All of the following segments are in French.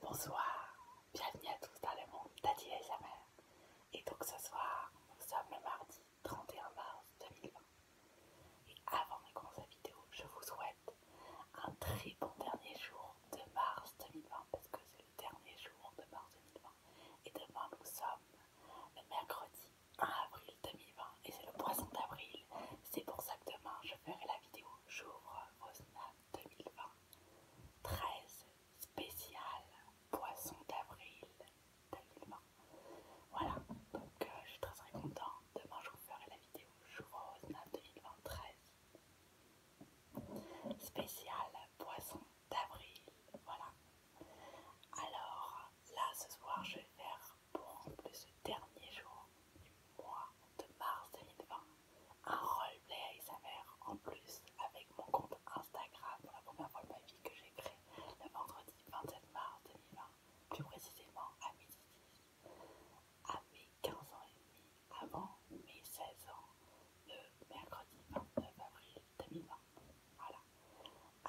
Bonsoir, bienvenue à tous dans le monde d'Adi et Et donc ce soir, nous sommes le mardi 31 mars 2020. Et avant de commencer la vidéo, je vous souhaite un très bon dernier jour de mars 2020 parce que c'est le dernier jour de mars 2020. Et demain, nous sommes le mercredi 1 avril 2020 et c'est le poisson d'avril. C'est pour ça que demain, je ferai la vidéo J'ouvre vos snaps 2020 13 spécial poisson d'avril 2020. Voilà, donc euh, je suis très très content. Demain je vous ferai la vidéo Jour aux spécial poisson d'avril. Voilà. Alors là ce soir je vais faire pour en dernier jour du mois de mars 2020 un roleplay à s'avère en plus avec mon compte Instagram pour la première fois de ma vie que j'ai créé le vendredi 27 mars 2020, plus précisément à midi à mes 15 ans et demi, avant mes 16 ans, le mercredi 29 avril 2020. Voilà.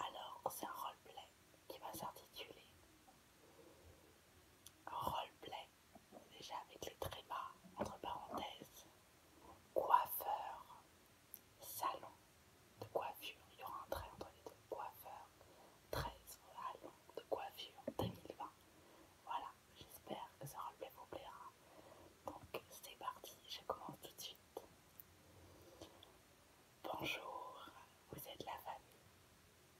Alors c'est un roleplay qui va s'intituler Roleplay déjà avec les trémas, entre parenthèses, coiffeur, salon de coiffure, il y aura un trait entre les deux, coiffeur, 13, salon de coiffure 2020. Voilà, j'espère que ça relevé vous plaira. Donc c'est parti, je commence tout de suite. Bonjour, vous êtes la famille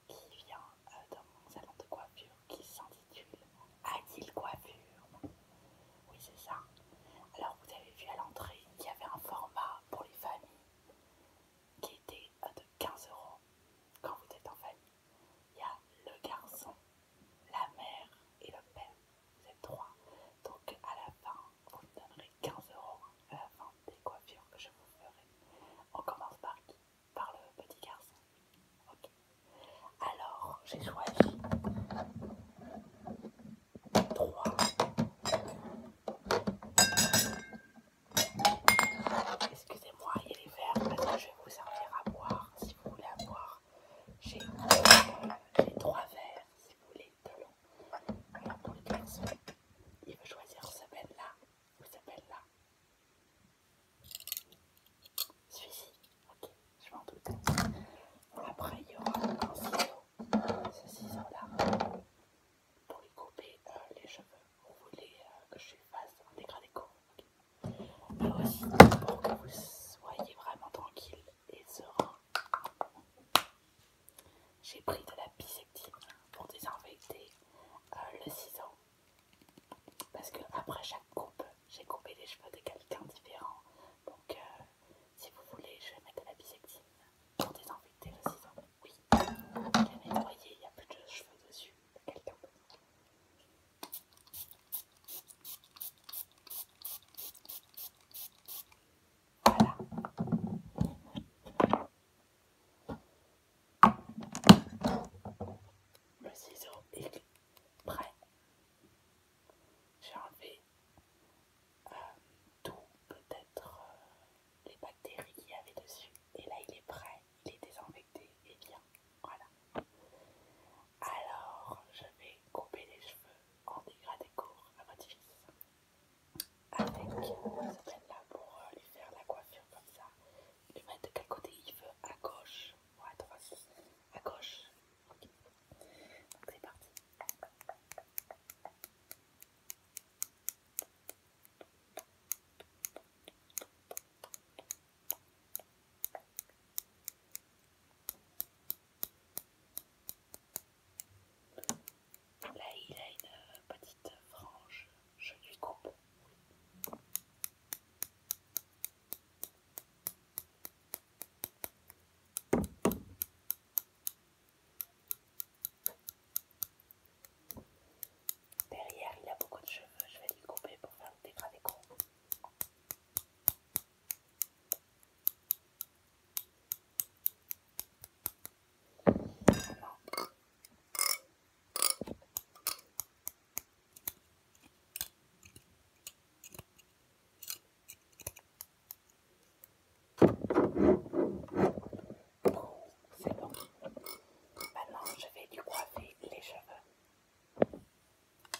qui vient de euh, dans mon salon de coiffure qui s'intitule Adil Coiffure. Oui, c'est ça. Alors, vous avez vu à l'entrée qu'il y avait un format pour les familles qui était euh, de 15 euros quand vous êtes en famille. Il y a le garçon, la mère et le père. Vous êtes trois. Donc, à la fin, vous me donnerez 15 euros à euh, la fin des coiffures que je vous ferai. On commence par qui par le petit garçon. Ok. Alors, j'ai choisi trois. Excusez-moi, il y a les verres parce que je vais vous servir à boire. Si vous voulez avoir boire, euh, j'ai trois verres, si vous voulez, de l'eau. Alors pour le garçon, il veut choisir ce belle là ou ce belle là. Celui-ci, ok, je m'en doute. Après, il y aura un ciseau, ce ciseau-là, pour lui couper euh, les cheveux. Vous voulez euh, que je fasse un dégradé court, ok. aussi, pour que vous soyez vraiment tranquille et serein, j'ai pris de la bisectine pour désinfecter euh, le ciseau parce que après chaque coupe, j'ai coupé les cheveux de quelqu'un différent. Donc euh, si vous voulez, je vais mettre de la bisectine pour désinfecter le ciseau. Oui, je l'ai nettoyé, il n'y a plus de cheveux dessus de quelqu'un Voilà. Le ciseau est prêt. J'ai enlevé euh, tout, peut-être euh, les bactéries qu'il y avait dessus. Et là, il est prêt, il est désinfecté et eh bien. Voilà. Alors, je vais couper les cheveux en dégradé court à votre fils avec euh, cette là pour lui faire la coiffure comme ça le mettre de quel côté il veut, à gauche ou à droite À gauche. Ok. c'est parti. Là il a une petite frange je lui coupe. Derrière, il a beaucoup de cheveux, je vais lui couper pour faire le dégradé c'est bon. Maintenant, je vais du croiser les cheveux.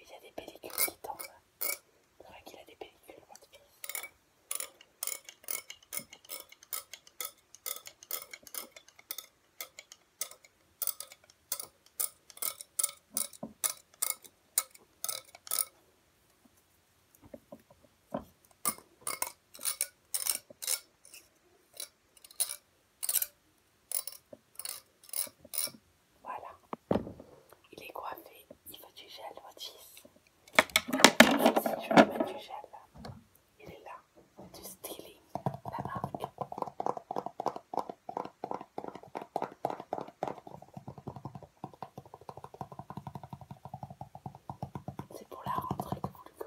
il y a des pellicules qui tombent. C'est vrai qu'il a des pellicules, voilà. Il est coiffé. Il veut du gel, votre Si je veux mettre du gel, il est là. Du styling, la marque. C'est pour la rentrée que vous le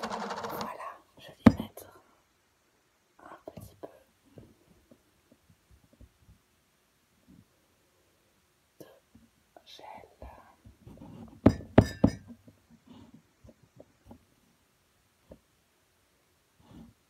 Voilà, je vais mettre un petit peu de gel.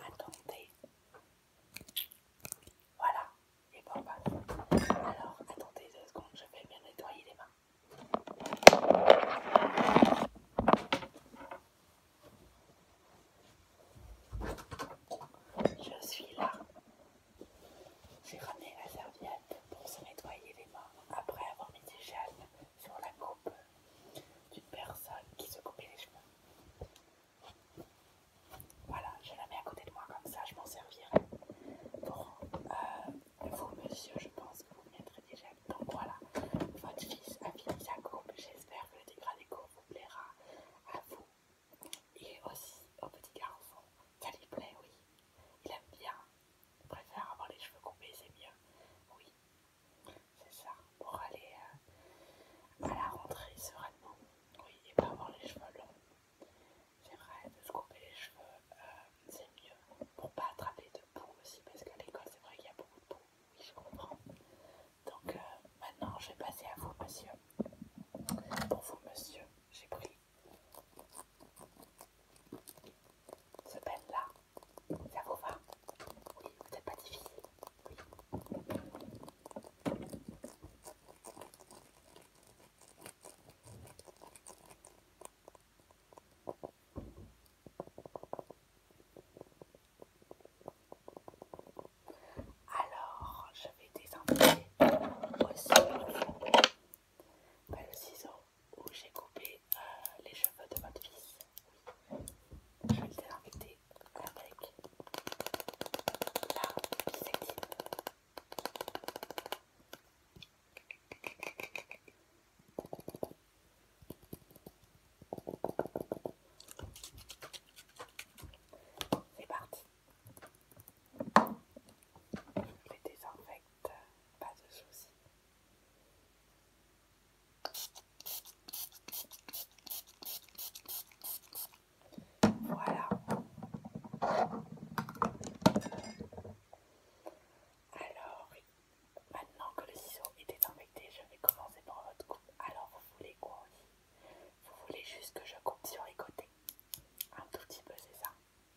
Attendez. Voilà. Et bon, bah. Alors, attendez deux secondes, je vais bien nettoyer les mains. Je suis là. J'ai ramené la serviette pour se nettoyer les mains après avoir mis du gel sur la coupe d'une personne qui se coupe les cheveux. Voilà, je la mets à côté de moi comme ça, je m'en servirai. Pour euh, vous, monsieur, je pense que vous mettrez déjà. Donc voilà, votre fils a fini sa coupe. J'espère que le dégradé vous plaira à vous et aussi au petit garçon. Ça lui plaît, oui. Il aime bien. Je préfère avoir les cheveux coupés, c'est mieux. Oui, c'est ça. Pour aller euh, à la rentrée sereinement. Oui, et pas avoir les cheveux longs. C'est vrai, de se couper les cheveux, euh, c'est mieux. Pour pas attraper de boue aussi, parce qu'à l'école, c'est vrai qu'il y a beaucoup de boue. Oui, je comprends. Donc euh, maintenant, je vais passer à vous, monsieur. Pour vous, monsieur, j'ai pris ce pelle là ça vous va Oui, vous n'êtes pas difficile Alors, je vais désinfecter aussi le ciseau où j'ai coupé euh, les cheveux de votre fils. Je vais le désinfecter avec la bisectine. C'est parti. Je les désinfecte, pas de soucis. Voilà. Alors, maintenant que le ciseau était désinfecté, je vais commencer par votre coupe. Alors, vous voulez quoi aussi Vous voulez juste que je coupe sur les côtés Un tout petit peu, c'est ça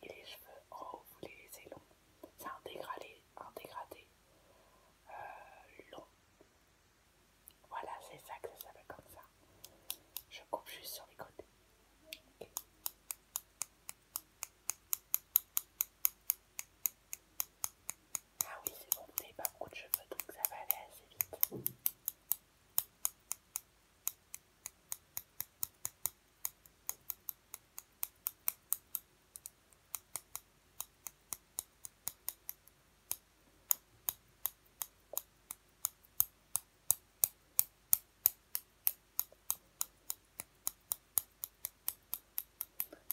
et les cheveux oh vous les laissez longs. C'est un dégradé, euh, long. Voilà, c'est ça que ça s'appelle comme ça. Je coupe juste sur les côtés. Ah oui, c'est bon, vous n'avez pas beaucoup de cheveux, donc ça va aller assez vite.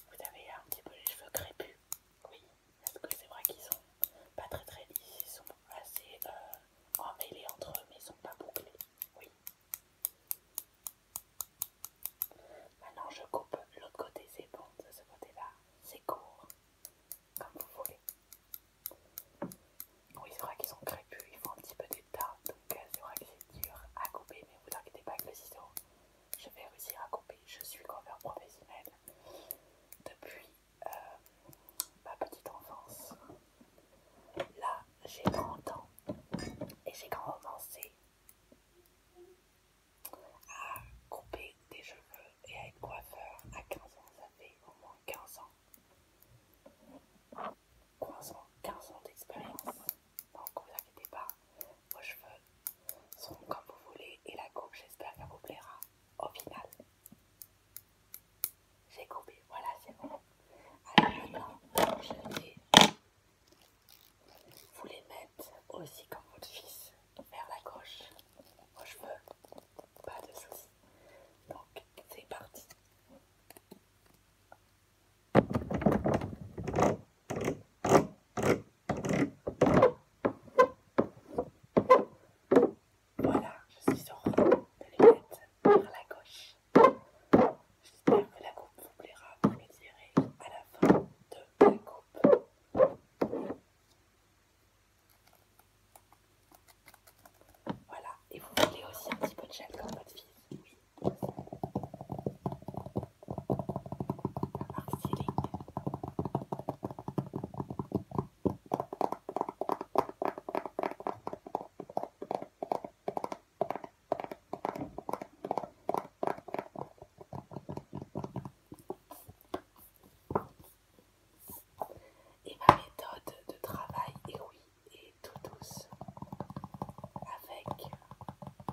Vous avez un petit peu les cheveux crépus, oui, parce que c'est vrai qu'ils sont pas très très lisses, ils sont assez euh, emmêlés entre eux, mais ils sont pas bouclés, oui. Maintenant je coupe l'autre côté, c'est bon de ce côté-là, c'est court, comme vous voulez. Bon, il faudra qu'ils sont crépus, ils font un petit peu d'état, donc euh, c'est vrai que c'est dur à couper, mais vous inquiétez pas avec le ciseau, je vais réussir à couper. Je suis coiffeur professionnel depuis euh, ma petite enfance. Là, j'ai 30 ans et j'ai commencé à couper des cheveux et à être coiffeur à 15 ans. Ça fait au moins 15 ans. 15 ans, ans d'expérience. Donc vous inquiétez pas, vos cheveux sont comme vous voulez et la coupe j'espère qu'elle vous plaira au final. J'ai coupé, voilà, c'est bon. Alors maintenant, je vais vous les mettre aussi comme votre fils vers la gauche aux cheveux. Pas de soucis. Donc, c'est parti. Voilà, je suis sûre de les mettre vers la gauche. J'espère que la coupe vous plaira, vous le direz à la fin de la coupe. Voilà, et vous voulez aussi un petit peu de gel comme votre fille. Oui. Et ma méthode de travail, est oui, est tout douce, avec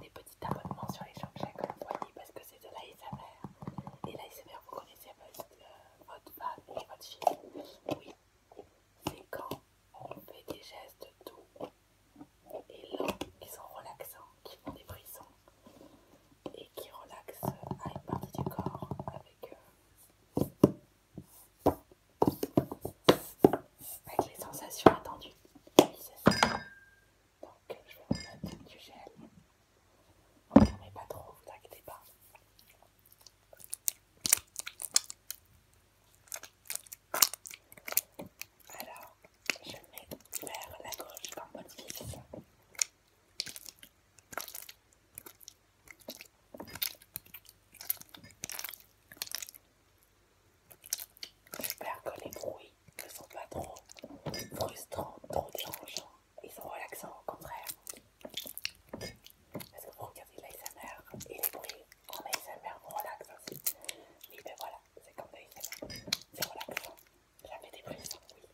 des petits abonnements sur les champs comme vous voyez, parce que c'est de l'ASMR. Et l'ASMR, vous connaissez votre, euh, votre femme et votre fille. Oui, c'est quand on fait des gestes doux et lents qui sont relaxants, qui font des brissons et qui relaxent à une partie du corps avec, euh, les sensations attendues. Donc je vais vous mettre du gel. On ne met pas trop, vous inquiétez pas. Alors, je mets vers la gauche par mode fixe. J'espère que les bruits ne sont pas trop frustrants, trop dérangeants. Ils sont relaxants au contraire. Parce que vous regardez l'ASMR et les bruits en ASMR on relaxe aussi. Et ben voilà, c'est comme l'ASMR. C'est relaxant. J'avais des bruits oui.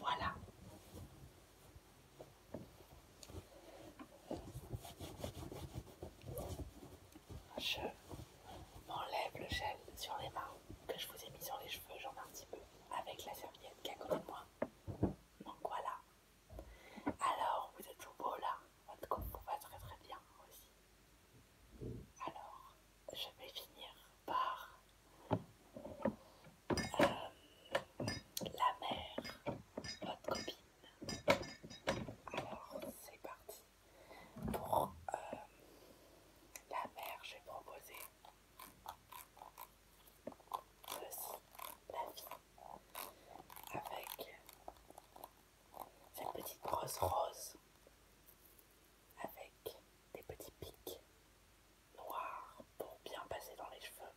Voilà. Je m'enlève le gel sur les mains que je vous ai mis sur les cheveux, j'en ai un petit peu avec la serviette qui est à côté de moi. Donc voilà. Alors, vous êtes tout beau là. Votre vous va très très bien aussi. Alors, je vais finir par euh, la mère, votre copine. Alors, c'est parti. Pour euh, la mère, j'ai proposé avec cette petite brosse rose avec des petits pics noirs pour bien passer dans les cheveux.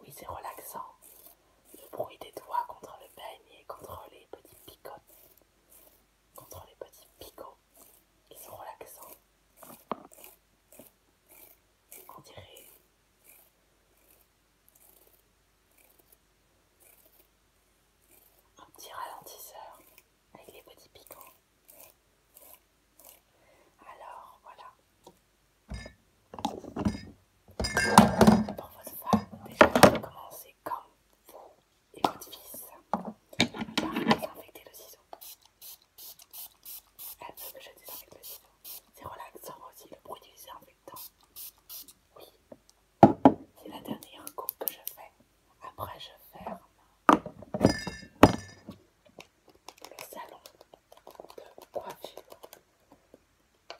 Oui, c'est relaxant. Le bruit des doigts contre le et contre les petits picots. Contre les petits picots. Ils c'est relaxant. On dirait. Un petit ralentisseur avec les petits picots. Alors voilà, pour votre femme, déjà commencez comme vous et votre fils par désinfecter le ciseau. Elle veut que je désinfecte le ciseau. C'est relaxant aussi le bruit du désinfectant. Oui, c'est la dernière coupe que je fais. Après, je ferme le salon de coiffure de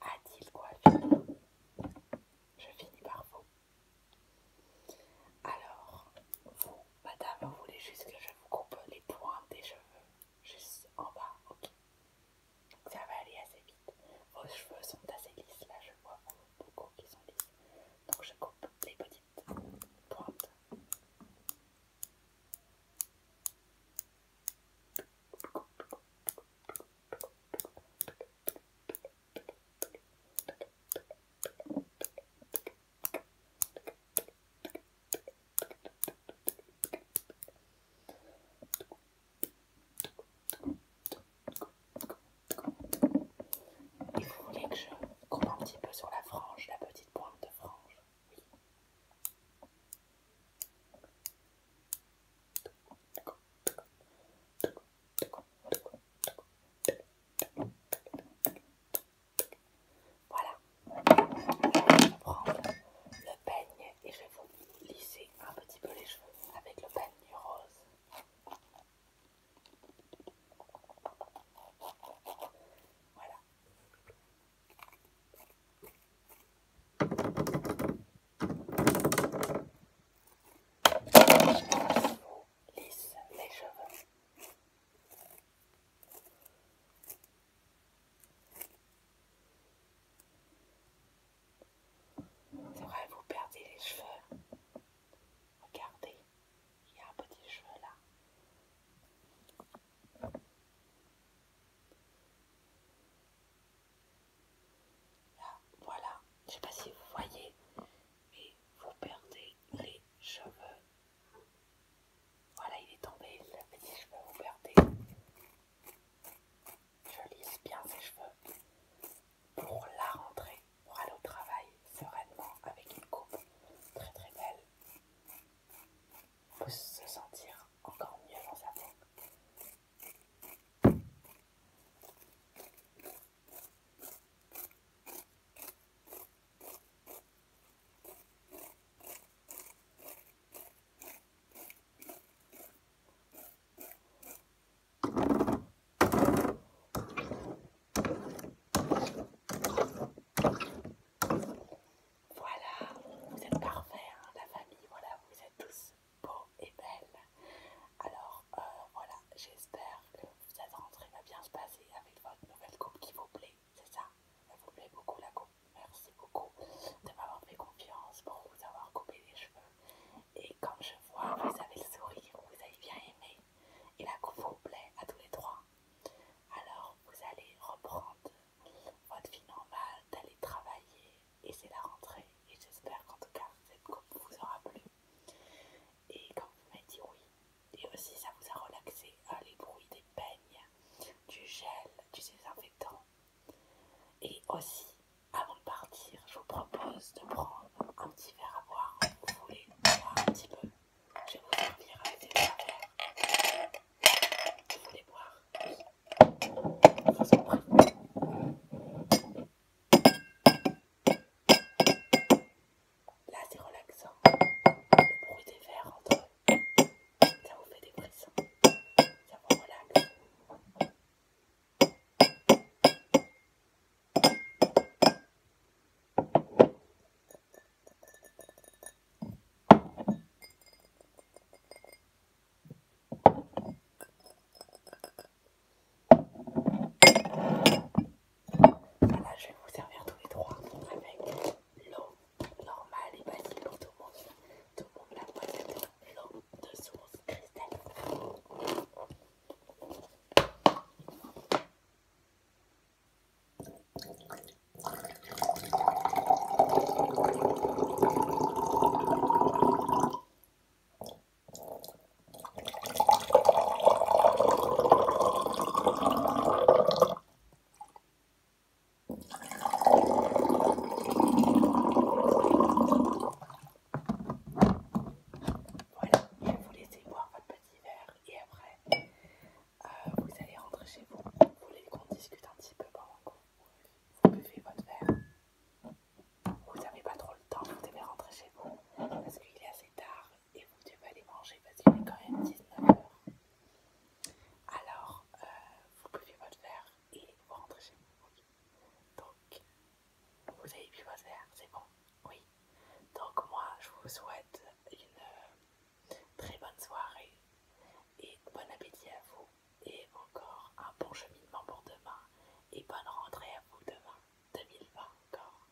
Adil Coiffure. Je finis par vous. Alors, vous, madame, vous voulez juste que je vous coupe les points des cheveux juste en bas, ok Ça va aller assez vite. Vos cheveux sont assez lisses, là je vois beaucoup qui sont lisses. Donc je coupe les petits pointe. Et vous voulez que je coupe un petit peu sur la frange, la petite pointe de frange voilà, je vais le peigne et je vais vous lisser un petit peu les cheveux avec le peigne rose. Voilà, lisse les cheveux. C'est vrai, vous perdez les cheveux. Regardez il y a un petit cheveu, là. voilà. Je sais pas si vous voyez, mais vous perdez les cheveux. Voilà, il est tombé, le petit cheveu, vous perdez. Je lisse bien ses cheveux pour la rentrée, pour aller au travail sereinement avec une coupe très très belle peut se sentir encore mieux dans sa peau. Voilà, vous êtes parfaits, hein, la famille. Voilà, vous êtes tous beaux et belles. Alors, euh, voilà, j'espère que cette rentrée va bien se passer avec votre nouvelle coupe qui vous plaît. C'est ça Elle vous plaît beaucoup, la coupe. Merci beaucoup de m'avoir fait confiance pour vous avoir coupé les cheveux. Et comme je vois, vous avez le sourire, vous avez bien aimé. Et la coupe vous plaît à tous les trois. Alors, vous allez reprendre votre vie normale, d'aller travailler et c'est la rentrée et j'espère qu'en tout cas cette coupe vous aura plu et quand vous m'avez dit oui et aussi ça vous a relaxé hein, les bruits des peignes, du gel, du désinfectant et aussi avant de partir je vous propose de prendre un petit verre à boire vous voulez boire un petit peu je vais vous servir avec des verres. Vous voulez boire Oui. Ça Là, c'est relaxant. Le bruit des verres entre eux. Ça vous fait des pressions. Ça vous relaxe. Voilà, je vais vous servir tous les trois avec l'eau normale et facile pour tout le monde. Tout le monde la boîte de l'eau de source cristalline. Voilà, je faut vous laisser boire votre petit verre et après, euh, vous allez rentrer chez vous, vous voulez qu'on discute un petit peu pendant que vous buvez votre verre, vous n'avez pas trop le temps, vous devez rentrer chez vous parce qu'il est assez tard et vous devez aller manger parce qu'il est quand même 19h. Alors, euh, vous buvez votre verre et vous rentrez chez vous. Donc, vous avez bu votre verre, c'est bon Oui. Donc moi, je vous souhaite une euh, très bonne soirée et bon appétit à vous et encore un bon cheminement pour demain et bonne rentrée à vous demain 2020 encore.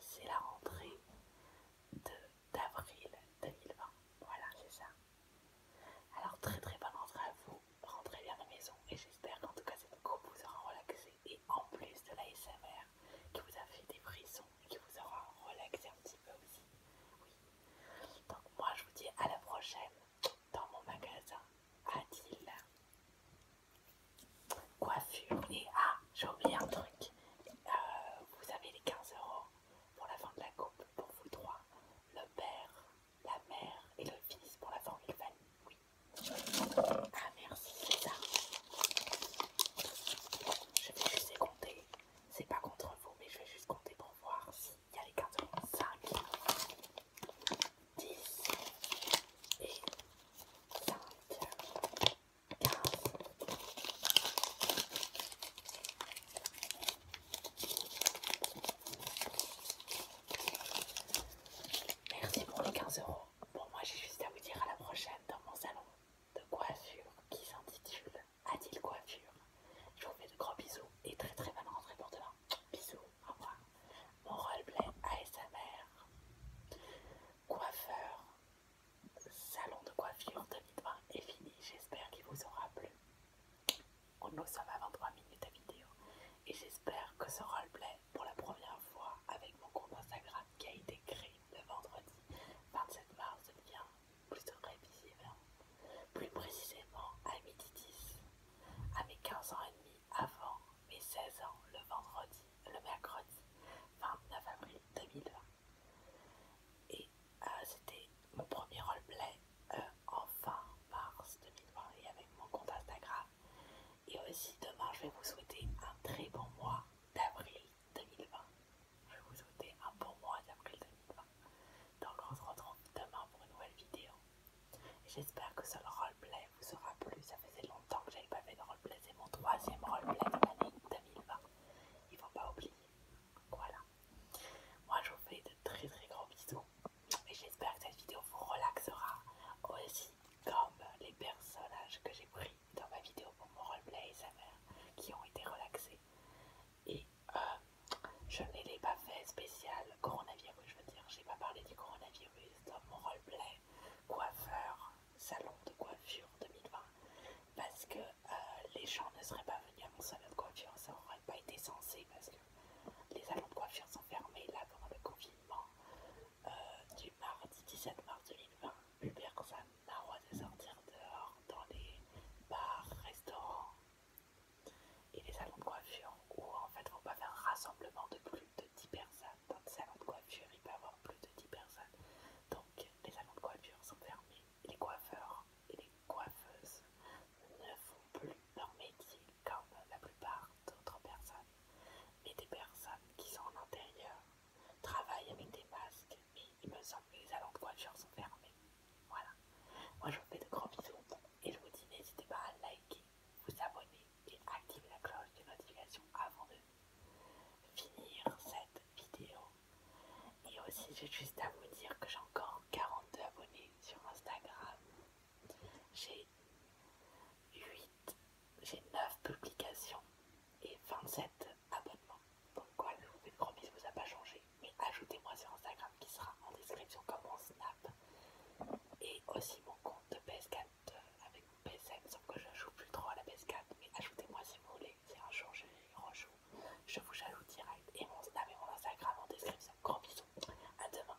C'est la rentrée d'avril 2020. Voilà, c'est ça. Alors très très bonne rentrée à vous. Rentrez bien à la maison et j'espère qu'en tout cas cette coupe vous aura relaxé et en plus de la l'ASMR, qui vous a fait des frissons, qui vous aura relaxé un petit peu aussi. Oui. Donc moi je vous dis à la prochaine dans mon magasin Adil Coiffure et ah, j'ai oublié un truc. Euh, vous avez les 15 euros pour la fin de la coupe pour vous trois, le père, la mère et le fils pour la la famille. Oui. Ah merci, c'est je vais juste compter. C'est pas contre vous, mais je vais juste compter pour voir s'il y a les cartes. 5, 10 et 5, 15. Merci pour les 15 euros bon, moi, j'ai juste à vous dire à la prochaine dans mon salon de coiffure qui s'intitule Adil Coiffure. Je vous fais de gros bisous et très très bonne rentrée pour demain. Bisous, au revoir. Mon roleplay ASMR, coiffeur, salon de coiffure 2020 est fini. J'espère qu'il vous aura plu. Nous sommes à 23 minutes de vidéo et j'espère que ce roleplay pour la première fois avec mon compte Instagram qui a été créé le vendredi 27 mars devient plus précisément, plus précisément à midi 10, à mes 15 ans et demi avant mes 16 ans le vendredi, le mercredi 29 avril 2020. Et euh, c'était mon premier roleplay euh, en fin mars 2020 et avec mon compte Instagram. Et aussi demain je vais vous souhaiter un très bon mois d'avril 2020. Je vous souhaiter un bon mois d'avril 2020. Donc on se retrouve demain pour une nouvelle vidéo. J'espère que ce roleplay vous aura plu. Ça faisait longtemps que j'avais pas fait de roleplay. C'est mon troisième roleplay de l'année 2020. Il faut pas oublier. Voilà. Moi je vous fais de très très gros bisous. Et j'espère que cette vidéo vous relaxera aussi comme les personnages que j'ai pris dans ma vidéo pour mon roleplay et sa mère qui ont été relaxés. Et euh, je ne pas fait spécial coronavirus, je veux dire, j'ai pas parlé du coronavirus dans mon roleplay coiffeur, salon de coiffure 2020, parce que euh, les gens ne seraient pas venus à mon salon de coiffure, ça aurait pas été censé parce que les salons de coiffure sont fermés là pendant le confinement. Euh, du mardi 17 mars 2020, la San de sortir dehors dans les bars, restaurants et les salons de coiffure où en fait faut pas faire un rassemblement de plus de 10 personnes. Dans le salon de coiffure, il peut avoir plus de 10 personnes. Donc les salons de coiffure sont fermés. Les coiffeurs et les coiffeuses ne font plus leur métier comme la plupart d'autres personnes, mais des personnes qui sont en intérieur travaillent avec des masques, mais il me semble que les allants de voiture sont fermés. Voilà. Moi je vous fais de gros bisous et je vous dis n'hésitez pas à liker, vous abonner et activer la cloche de notification avant de finir cette vidéo. Et aussi j'ai juste à vous dire que j'ai encore 42 abonnés sur Instagram. J'ai 8 j'ai 9 publications et 27 abonnements. Donc quoi, je vous fais une vous a pas changé. Mais ajoutez-moi sur Instagram qui sera en description comme mon Snap. Et aussi mon compte de PS4 euh, avec mon PSN, sauf que je joue plus trop à la PS4. Mais ajoutez-moi si vous voulez, c'est un jour je je vous j'ajoute direct. Et mon Snap et mon Instagram en description. Gros bisous, à demain.